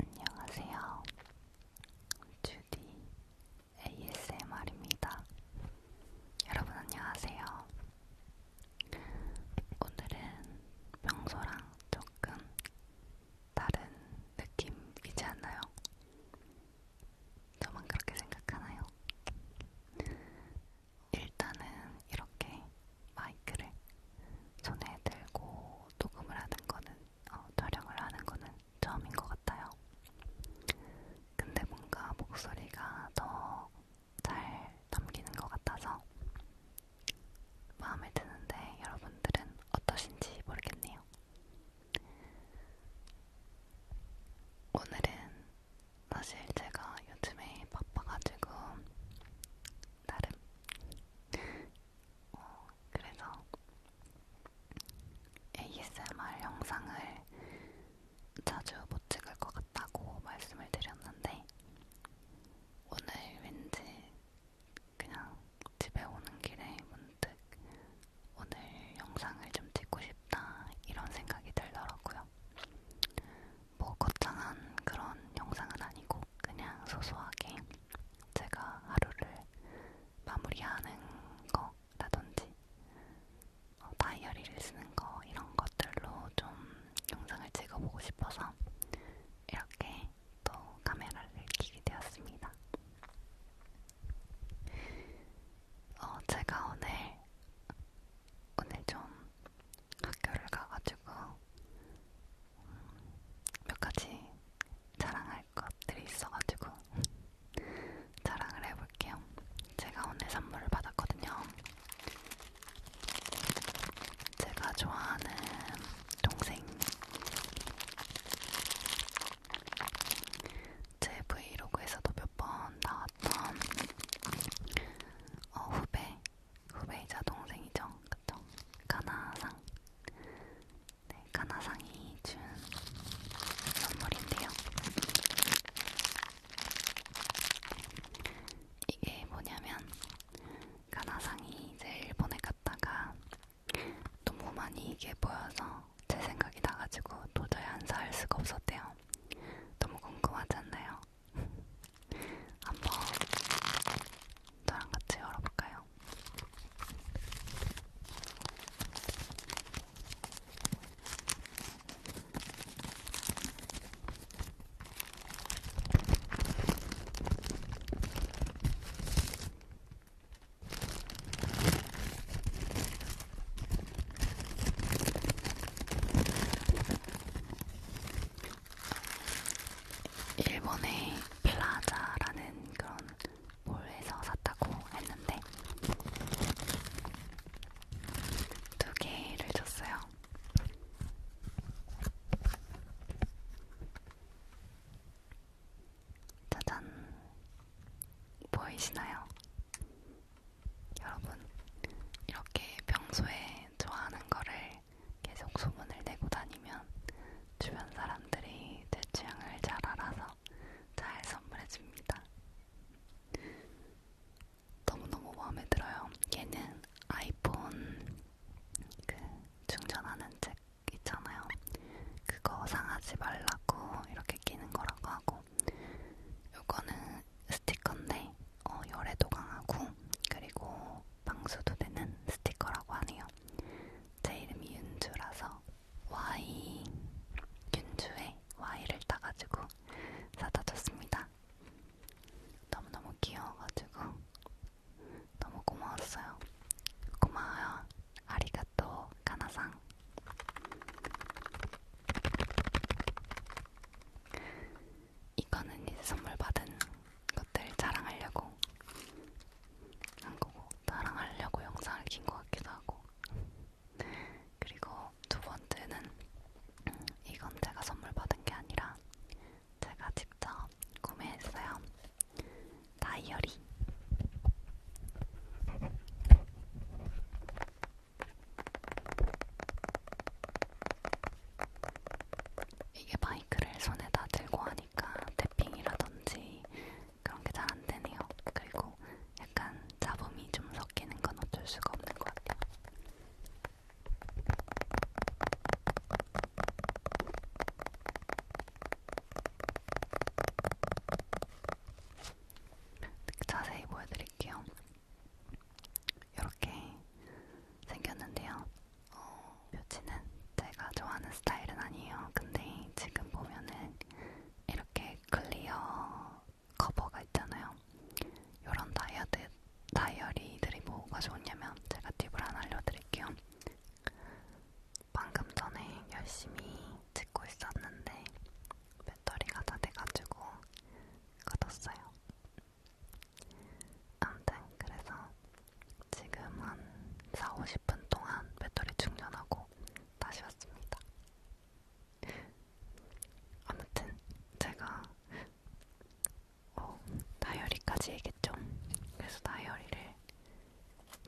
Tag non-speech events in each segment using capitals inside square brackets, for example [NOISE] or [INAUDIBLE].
안녕하세요. 주디 ASMR입니다. 여러분 안녕하세요. 오늘은 평소랑 조금 다른 느낌이지 않나요? 저만 그렇게 생각하나요? 일단은 이렇게 마이크를 손에 들고 녹음을 하는 거는 어, 촬영을 하는 거는 처음인 것 같아요. 근데 뭔가 목소리가 더 잘 담기는 것 같아서 마음에 드는데 여러분들은 어떠신지 모르겠네요. 오늘은 사실 제가 요즘에 바빠가지고 나름 어, 그래서 ASMR 영상을 자주 못 찍을 것 같다고 말씀을 드렸는데 오늘 왠지 그냥 집에 오는 길에 문득 오늘 영상을 좀 찍고 싶다 이런 생각이 들더라고요. 뭐 거창한 그런 영상은 아니고 그냥 소소하게 제가 하루를 마무리하는 거라든지 어, 다이어리를 쓰는 거 이런 것들로 좀 영상을 찍어보고 싶어서 이렇게 또 카메라를 켜게 되었습니다. 어, 제가 오늘 오늘 좀 학교를 가가지고 몇 가지 자랑할 것들이 있어가지고 [LAUGHS] 자랑을 해볼게요. 제가 오늘 선물을 받았거든요. 제가 좋아하는 동생 제 브이로그에서도 몇 번 나왔던 어, 후배 후배이자 동생이죠. 그쵸? 가나상. 네, 가나상이 준 선물인데요. 이게 뭐냐면, 가나상이 이제 일본에 갔다가 너무 많이 이게 보여서 제 생각이 나가지고 도저히 안 살 수가 없었대요. 너무 궁금하지 않나요? 한번 저랑 같이 열어볼까요? 일본의 플라자라는 그런 몰에서 샀다고 했는데 두 개를 줬어요. 짜잔, 보이시나요? 여러분, 이렇게 평소에 좋아하는 거를 계속 소문을 내고 다니면 주변 사람들이 제 취향을 잘 알아서 잘 선물해줍니다. 너무너무 마음에 들어요. 얘는 아이폰 그 충전하는 책 있잖아요. 그거 상하지 말라고 이렇게 끼는 거라고 하고 요거는 스티커인데 어, 열에도 강하고 그리고 방수도 되는 스티커라고 하네요. 제 이름이 윤주라서 Y 윤주에 Y를 따가지고 사다 줬습니다. 너무너무 귀여워가지고 너무 고마웠어요. 고마워요. 아리가또 가나상. 이거는 이제 선물 받은 것들 자랑하려고 한 거고 나랑 하려고 영상을 킨것 같기도 하고 그리고 두 번째는 음, 이건 제가 선물 받은 게 아니라 제가 직접 구매했어요. 다이어리. 이게 마이크를 손에다 들고 하니까 보니까 태핑이라든지 그런 게 잘 안 되네요. 그리고 약간 잡음이 좀 섞이는 건 어쩔 수가 없는 것 같아요. 자세히 보여드릴게요. 이렇게 생겼는데요. 어, 묘치는 제가 좋아하는 스타일은 아니에요. 근데 지금 보면은 이렇게 클리어 커버가 있잖아요. 요런 다이어드, 다이어리들이 뭐가 좋냐면 제가 팁을 하나 알려드릴게요. 방금 전에 열심히 찍고 있었는데 배터리가 다 돼가지고 꺼뒀어요. 아무튼 그래서 지금 한 4, 50분 동안 배터리 충전하고 다시 왔습니다. 아무튼 제가 어, 다이어리까지 얘기했죠. 그래서 다이어리를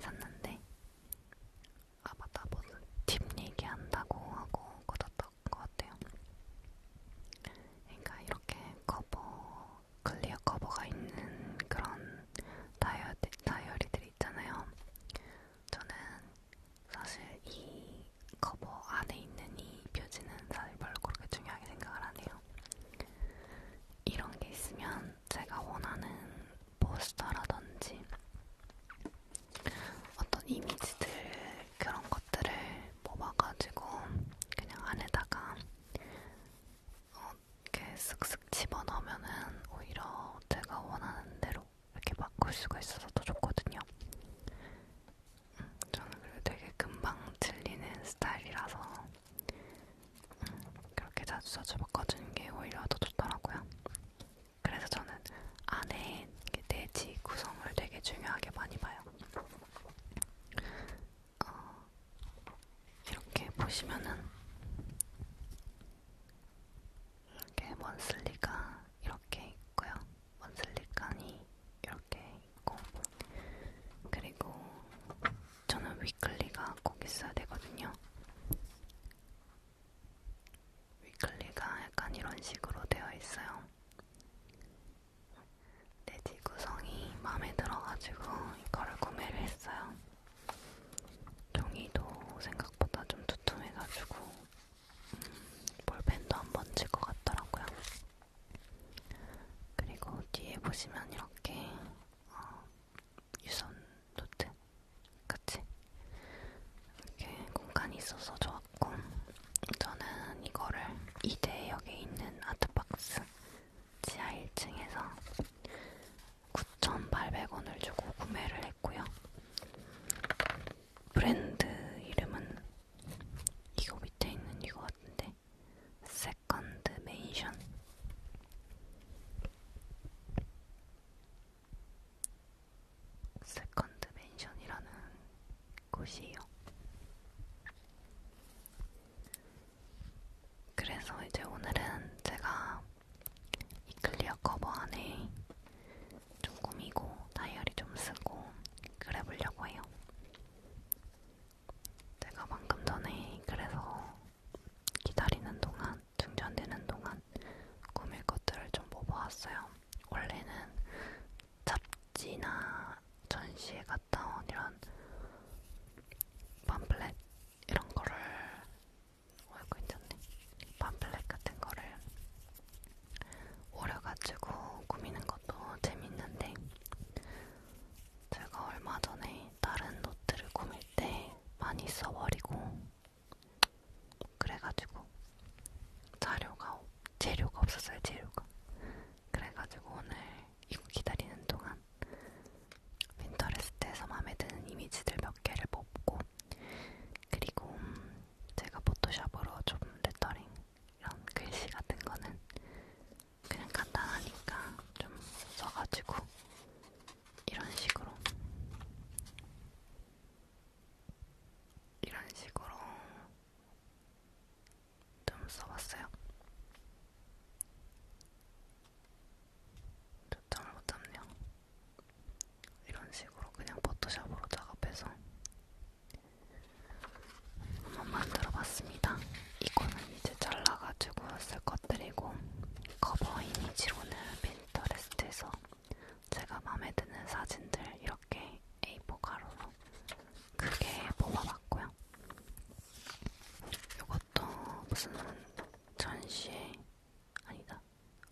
샀는데 아 맞다 무슨 팁 얘기한다고 하고 꽂았던 것 같아요. 그러니까 이렇게 커버 클리어 커버가 있는 그런 다이어리, 다이어리들이 있잖아요. 저는 사실 이 커버 안에 있는 이 표지는 사실 별로 그렇게 중요하게 생각을 안 해요. 이런 게 있으면 제가 원하는 포스터라든지 어떤 이미지들 그런 것들을 뽑아가지고 그냥 안에다가 어, 이렇게 슥슥 집어넣으면은 오히려 제가 원하는 대로 이렇게 바꿀 수가 있어서 더 좋거든요. 음, 저는 그래도 되게 금방 질리는 스타일이라서 음, 그렇게 자주 자주 바꿔주는 게 오히려 더 좋더라고요. 그래서 저는 안에 내지 구성을 되게 중요하게 많이 봐요. 어, 이렇게 보시면은 이렇게 먼슬리가 이렇게 있고요. 먼슬리칸이 이렇게 있고 그리고 저는 위클리가 꼭 있어야 되거든요. 위클리가 약간 이런 식으로 되어 있어요. 내지 구성이 마음에 들어가지고 이거를 구매를 했어요. 종이도 생각보다 좀 두툼해가지고 음, 볼펜도 한 번 질 것 같더라고요. 그리고 뒤에 보시면 이렇게 어, 유선 노트 같이 이렇게 공간이 있어서 좋았고 저는 이거를 2대역에 있는 아트박스 지하 1층에서 9,800원을 주고 구매를 했고요. 브랜드 이름은 이거 밑에 있는 이거 같은데 세컨드 메이션 세컨드 맨션이라는 곳이에요. 그래서 이제 오늘은 제가 이 클리어 커버 안에 좀 꾸미고 다이어리 좀 쓰고 그래 보려고 해요. 제가 방금 전에 그래서 기다리는 동안, 충전되는 동안 꾸밀 것들을 좀 뽑아왔어요. 원래는 잡지나 전시에 갔다 온 이런 팜플렛 이런 거를 어이구 괜찮네 밤플렉 같은 거를 오려가지고 꾸미는 것도 재밌는데 제가 얼마 전에 다른 노트를 꾸밀 때 많이 써버리고 그래가지고 자료가 재료가 없었어요 재료가 그래가지고 오늘 이거 기다리는 동안 핀터레스트에서 마음에 드는 이미지들 몇 개를 뽑고 그리고 음, 제가 포토샵으로 좀 레터링 이런 글씨 같은 거는 그냥 간단하니까 좀 써가지고 이런 식으로 이런 식으로 좀 써봤어요. 초점을 못 잡네요. 이런 식으로 그냥 포토샵으로 작업해서 한번 만들어 봤습니다. 이거는 이제 잘라가지고 쓸 것들이고 커버 이미지로는 핀터레스트에서 제가 마음에 드는 사진들 이렇게 A4 가로로 크게 뽑아봤고요. 이거 어떤 무슨 전시회 아니다.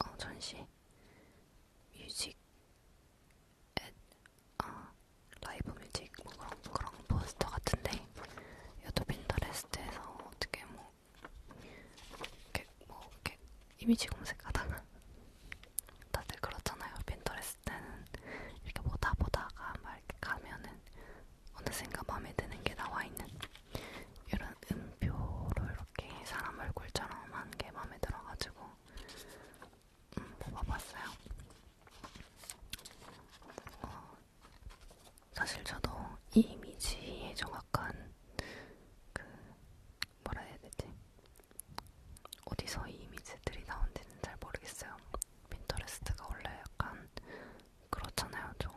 어 전시회 뮤직 앳, 아 라이브 뮤직 뭐 그런 그런 포스터 같은데 유튜브 인터레스트에서 어떻게 뭐 이렇게 뭐 이렇게 이미지 검색하다가 [LAUGHS] 다들 그렇잖아요. 빈터레스트는 이렇게 보다 보다가 막 이렇게 가면은 어느샌가 마음에 드는 게 나와 있는 이런 음표로 이렇게 사람 얼굴처럼 한게 마음에 들어가지고 음, 뽑아봤어요. 어, 사실 저도 이 이미지에 정확한 그 뭐라 해야 되지? 어디서 이 이미지들이 나온지는 잘 모르겠어요. 핀터레스트가 원래 약간 그렇잖아요, 저.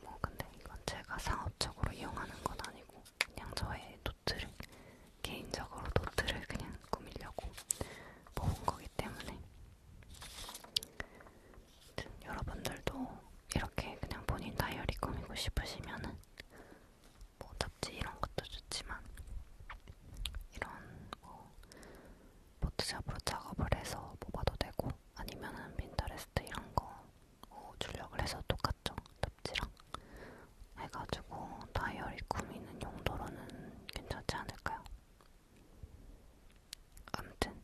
뭐 근데 이건 제가 상업적으로 이용하는 건 아니고 그냥 저의 노트를 개인적으로 노트를 그냥 꾸밀려고 뽑은 거기 때문에 여러분들도 이렇게 그냥 본인 다이어리 꾸미고 싶으시면은 뭐 잡지 이런 것도 좋지만 이런 뭐 포토샵으로 작업을 해서 뽑아도 되고 아니면은 핀터레스트 이런 거 어, 출력을 해서 똑같죠. 덥지랑 해가지고 다이어리 꾸미는 용도로는 괜찮지 않을까요? 아무튼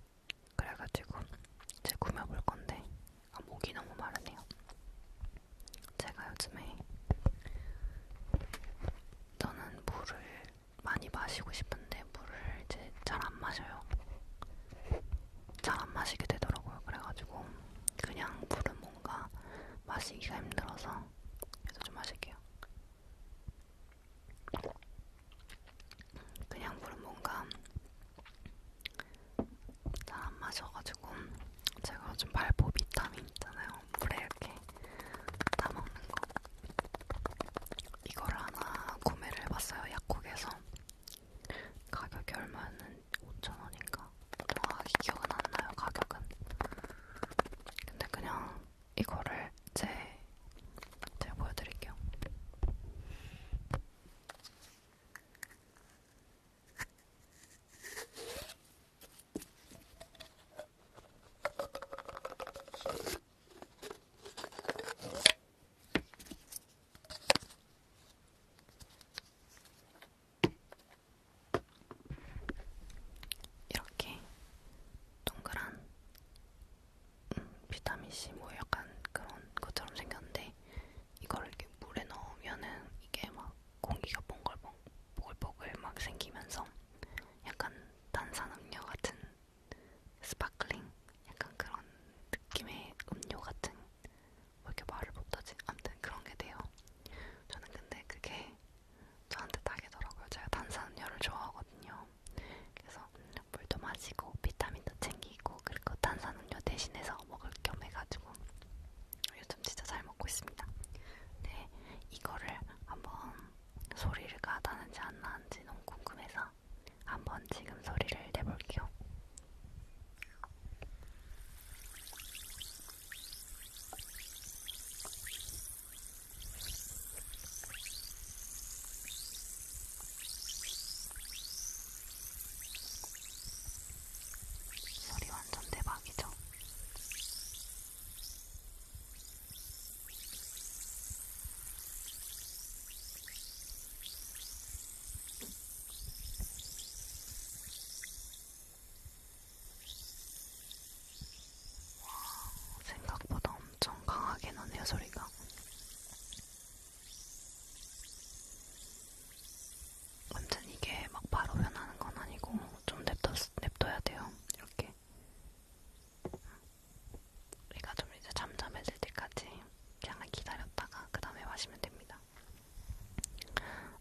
그래가지고 이제 꾸며볼 건데 아, 목이 너무 마르네요. 제가 요즘에 저는 물을 많이 마시고 싶은데 물을 이제 잘 안 마셔요. 잘 안 마시게 되더라고요. 그래가지고 그냥 물은 뭔가 마시기가 힘들어서 그래서 좀 마실게요. 그냥 물은 뭔가 잘 안 마셔가지고 제가 요즘 발포 비타민 있잖아요. 물에 이렇게 따먹는 거 이걸 하나 구매를 해봤어요 약국에서 가격이 얼마였는지 5,000원인가 정확히 기억은 안나요 가격은 근데 그냥 이거를 제 제가 보여드릴게요 이렇게 동그란 음, 비타민C 뭐 약간 그런 것처럼 생겼는데 이걸 이렇게 물에 넣으면은 이게 막 공기가 봉글봉, 보글보글 막 생기면서 약간 탄산음료 같은 스파클링 약간 그런 느낌의 음료 같은 왜 이렇게 말을 못하지? 아무튼 그런 게 돼요. 저는 근데 그게 저한테 딱이더라고요. 제가 탄산음료를 좋아하거든요. 그래서 물도 마시고 비타민도 챙기고 그리고 탄산음료 대신해서 먹을 겸 해가지고 요즘 진짜 잘 먹고 있습니다. 네, 이거를 한번 소리가 나는지 안 나는지 너무 궁금해서 한번 지금 소리를 내볼게요. 소리 완전 대박이죠? 생각보다 엄청 강하게 나네요, 소리가. 완전 이게 막 바로 변하는 건 아니고 좀 냅둬, 냅둬야 돼요. 이렇게. 우리가 좀 이제 잠잠해질 때까지 잠깐 기다렸다가 그 다음에 마시면 됩니다.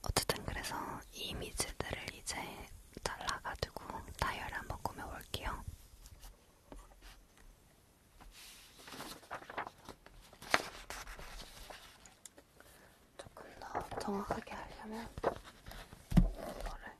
어쨌든 그래서 이 이미지들을 이제 잘라가지고 다이어리 한번 꾸며볼게요. 조금 더 정확하게 하려면 이거를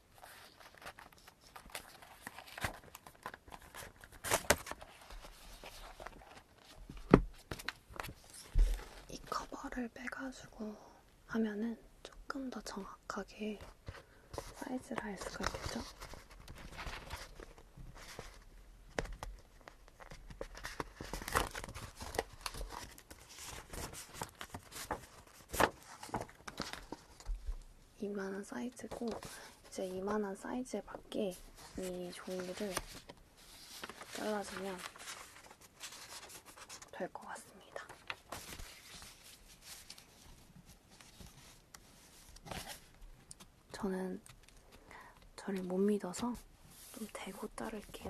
이 커버를 빼가지고 하면은 조금 더 정확하게 사이즈를 알 수가 있겠죠? 이만한 사이즈고 이제 이만한 사이즈에 맞게 이 종이를 잘라주면 될 것 같습니다. 저는 저를 못 믿어서 좀 대고 자를게요.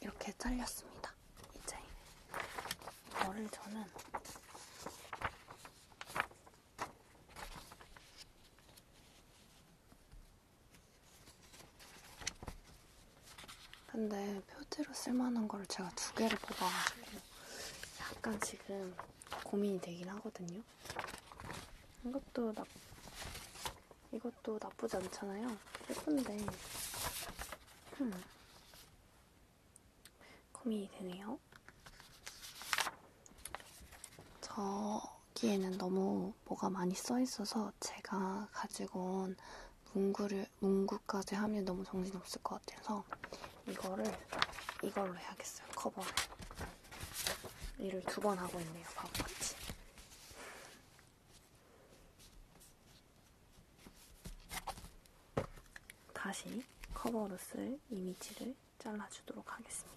이렇게 잘렸습니다. 이제 이거를 저는 근데 표지로 쓸만한 걸 제가 두 개를 뽑아가지고 약간 지금 고민이 되긴 하거든요. 이것도 나, 이것도 나쁘지 않잖아요. 예쁜데, 흠. 고민이 되네요. 저기에는 너무 뭐가 많이 써있어서 제가 가지고 온 문구를, 문구까지 하면 너무 정신없을 것 같아서 이거를 이걸로 해야겠어요, 커버를. 일을 두번 하고 있네요. 바보같이. 다시 커버로 쓸 이미지를 잘라주도록 하겠습니다.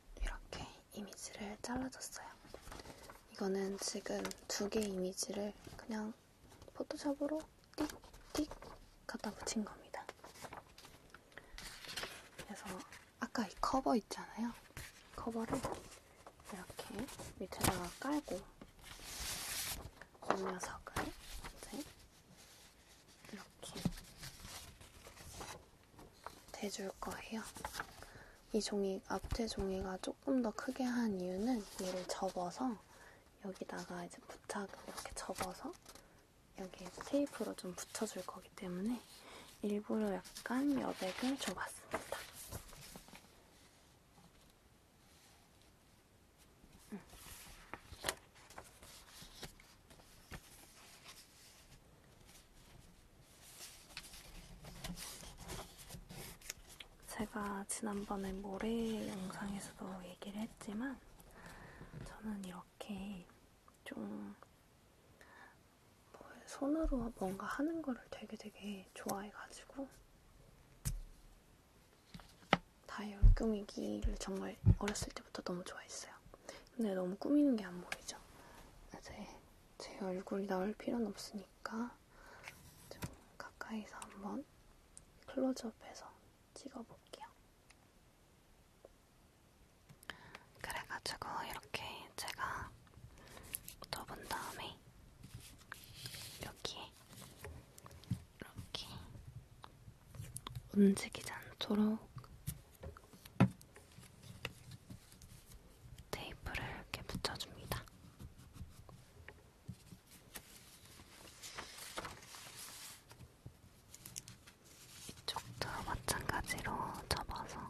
이렇게 이미지를 잘라줬어요. 이거는 지금 두 개 이미지를 그냥 포토샵으로 띡띡 갖다 붙인 겁니다. 그래서 아까 이 커버 있잖아요. 커버를 이렇게 밑에다가 깔고 이 녀석을 이제 이렇게 대줄 거예요. 이 종이, 앞에 종이가 조금 더 크게 한 이유는 얘를 접어서 여기다가 이제 부착 이렇게 접어서 여기 테이프로 좀 붙여줄 거기 때문에 일부러 약간 여백을 줘봤습니다. 음. 제가 지난번에 모래 영상에서도 얘기를 했지만 저는 이렇게 좀 뭐 손으로 뭔가 하는 거를 되게 되게 좋아해가지고 다이얼 꾸미기를 정말 어렸을 때부터 너무 좋아했어요. 근데 너무 꾸미는 게 안 보이죠? 이제 제 얼굴이 나올 필요는 없으니까 좀 가까이서 한번 클로즈업해서 찍어볼게요. 그래가지고 이렇게 제가 접은 다음에 여기에 이렇게 움직이지 않도록 테이프를 이렇게 붙여줍니다. 이쪽도 마찬가지로 접어서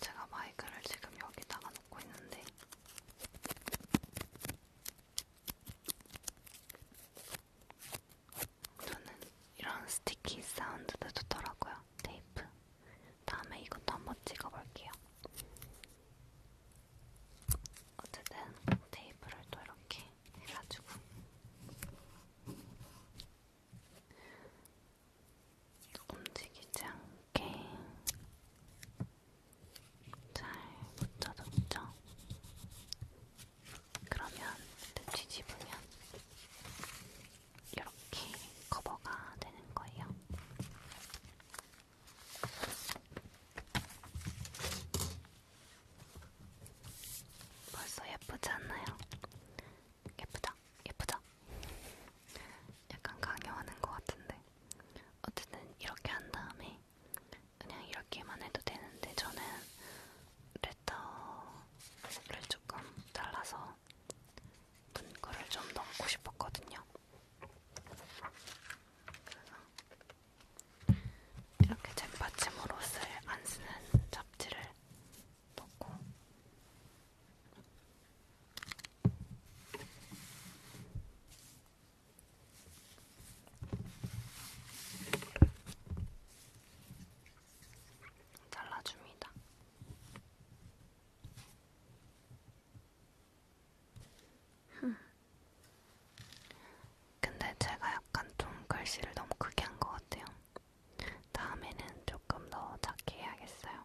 제가 마이크를 지금 여기다가 놓고 있는데 저는 이런 스티키 사운드도 좋더라고요. 테이프. 다음에 이것도 한번 찍어볼게요. 어쨌든 테이프를 또 이렇게 해가지고 움직이지 않게 잘 붙여줬죠. 그러면 뒤집으면 이렇게 커버가 되는 거예요. 벌써 예쁘지 않나요? 예쁘죠? 예쁘죠? 약간 강요하는 것 같은데 어쨌든 이렇게 한 다음에 그냥 이렇게만 해도 되는데 저는 레터를 조금 잘라서 문구를 좀 넣고 싶었거든요. 그래서 이렇게 잼받침으로 쓸 안 쓰는 잡지를 넣고 잘라줍니다. 근데 제가 약간 좀 글씨를 너무 크게 한 것 같아요. 다음에는 조금 더 작게 해야겠어요.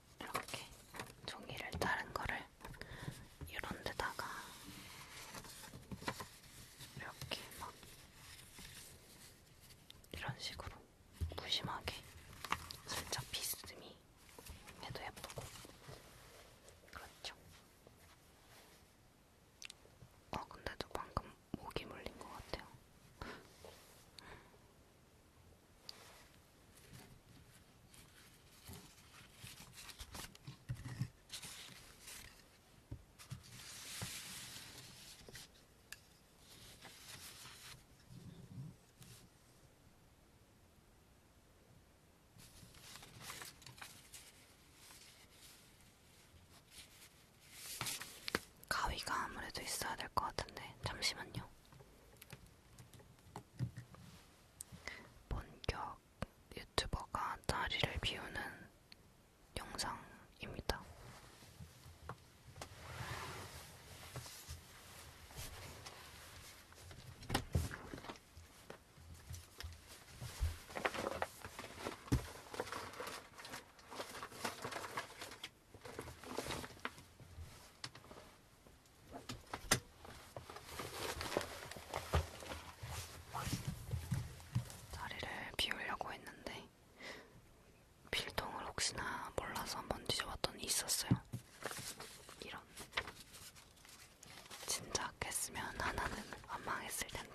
이렇게 종이를 자른 거를 이런 데다가 이렇게 막 이런 식으로 무심하게 살짝 비스듬히 해도 예쁘고 그렇죠. 어, 근데도 방금 목이 물린 것 같아요. 가위가 아무래도 있어야 될 것 같은데 잠시만요. 본격 유튜버가 자리를 비우는 영상입니다. 자리를 비우려고 했는데 필통을 혹시나 몰라서 한번 뒤져봤더니 있었어요. 이런. 진작 했으면 하나는 안 망했을 텐데요.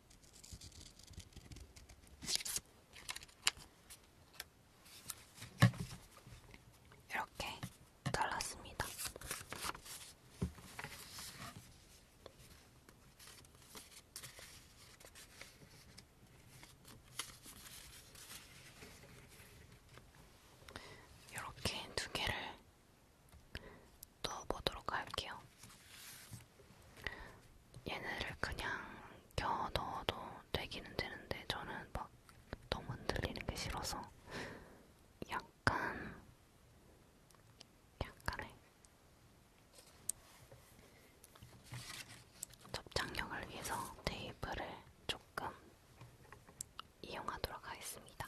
이렇게 잘랐습니다. 이렇게 두 개를 넣어보도록 할게요. 얘네를 그냥 겨워 넣어도 되기는 되는데 저는 막 너무 흔들리는 게 싫어서 약간 약간의 접착력을 위해서 테이프를 조금 이용하도록 하겠습니다.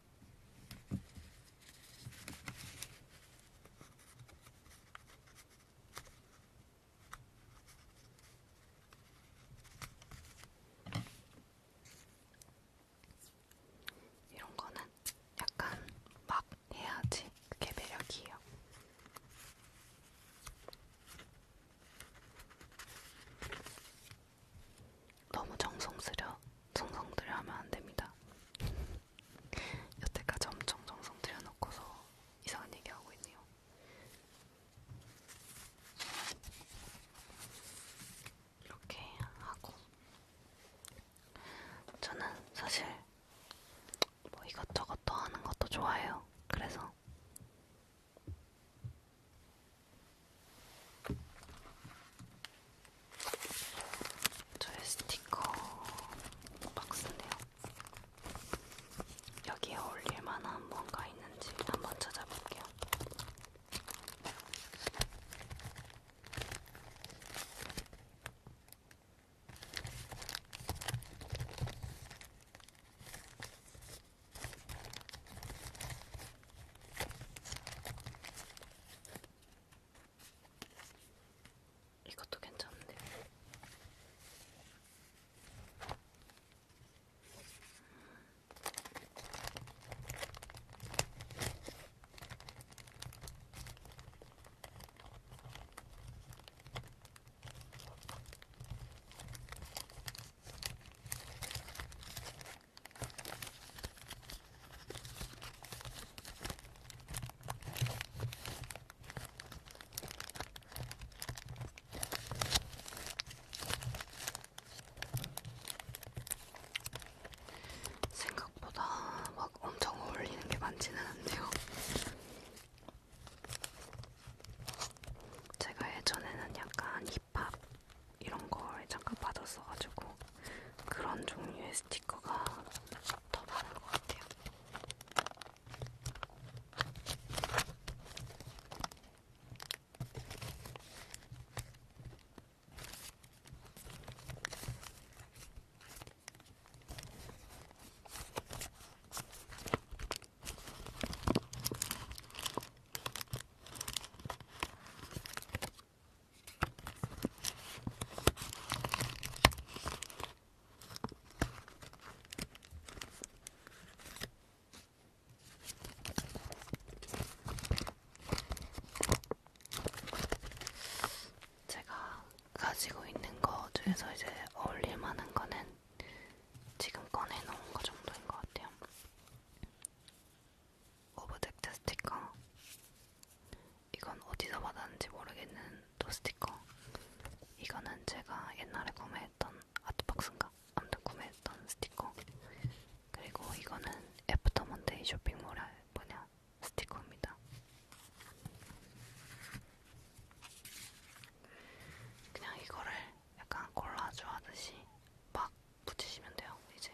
이런 거는 약간 막 해야지 그게 매력이에요. 너무 정성스려 정성들여 하면 안 됩니다. 여태까지 엄청 정성들여 놓고서 이상한 얘기하고 있네요. 이렇게 하고 저는 사실 뭐 이것저것 더 하는 것도 좋아해요. 그래서 저의 스티커 박스네요. 여기에 어울릴 만한 뭔가 있는지 한번 찾아볼게요. 이것도 괜찮은데. 생각보다 막 엄청 어울리는 게 많지는 않네요. 제가 예전에는 약간 힙합 이런 걸 잠깐 받았어가지고 그런 종류의 스티커가 더 많은 것 같아요. 제가 가지고 있는 거 중에서 이제 어울릴 만한 거는 지금 꺼내놓은 거 정도인 것 같아요. 오브젝트 스티커 이건 어디서 받았는지 모르겠는 또 스티커 이거는 제가 옛날에 구매했던 아트박스인가? 아무튼 구매했던 스티커 그리고 이거는 애프터 먼데이 쇼핑몰의 뭐냐 스티커입니다 그냥 이거를 약간 콜라주 하듯이 막 붙이시면 돼요 이제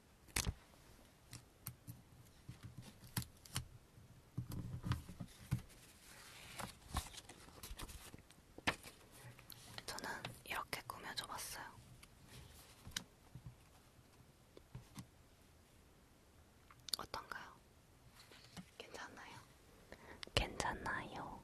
저는 이렇게 꾸며줘 봤어요. 어떤가요? 괜찮나요? 괜찮나요?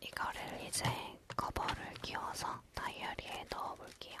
이거를 이제 커버를 끼워서 다이어리에 넣어볼게요.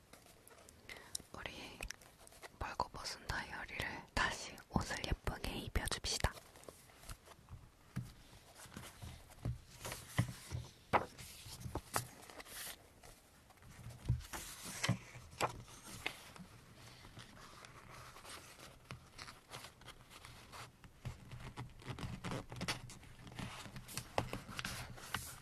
우리 멀고 벗은 다이어리를 다시 옷을 예쁘게 입혀줍시다.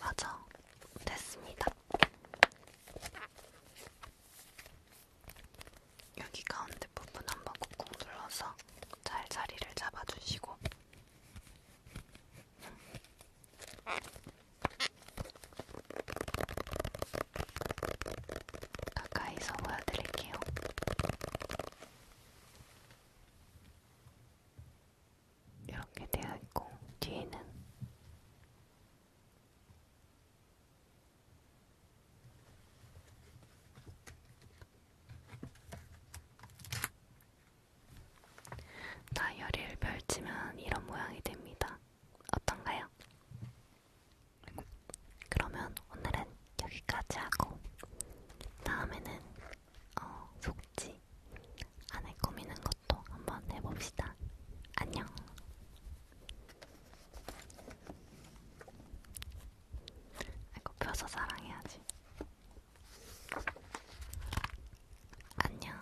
맞아, 됐습니다. 여기 가운데 부분 한번 꾹꾹 눌러서 잘 자리를 잡아주시고 가까이서 보여드릴게요. 이렇게 되어 있고 뒤에는 다이어리를 펼치면 이런 모양이 됩니다. 어떤가요? 그러면 오늘은 여기까지 하고 다음에는 어, 속지 안에 꾸미는 것도 한번 해봅시다. 안녕. 아이고 펴서 사랑해야지. 안녕.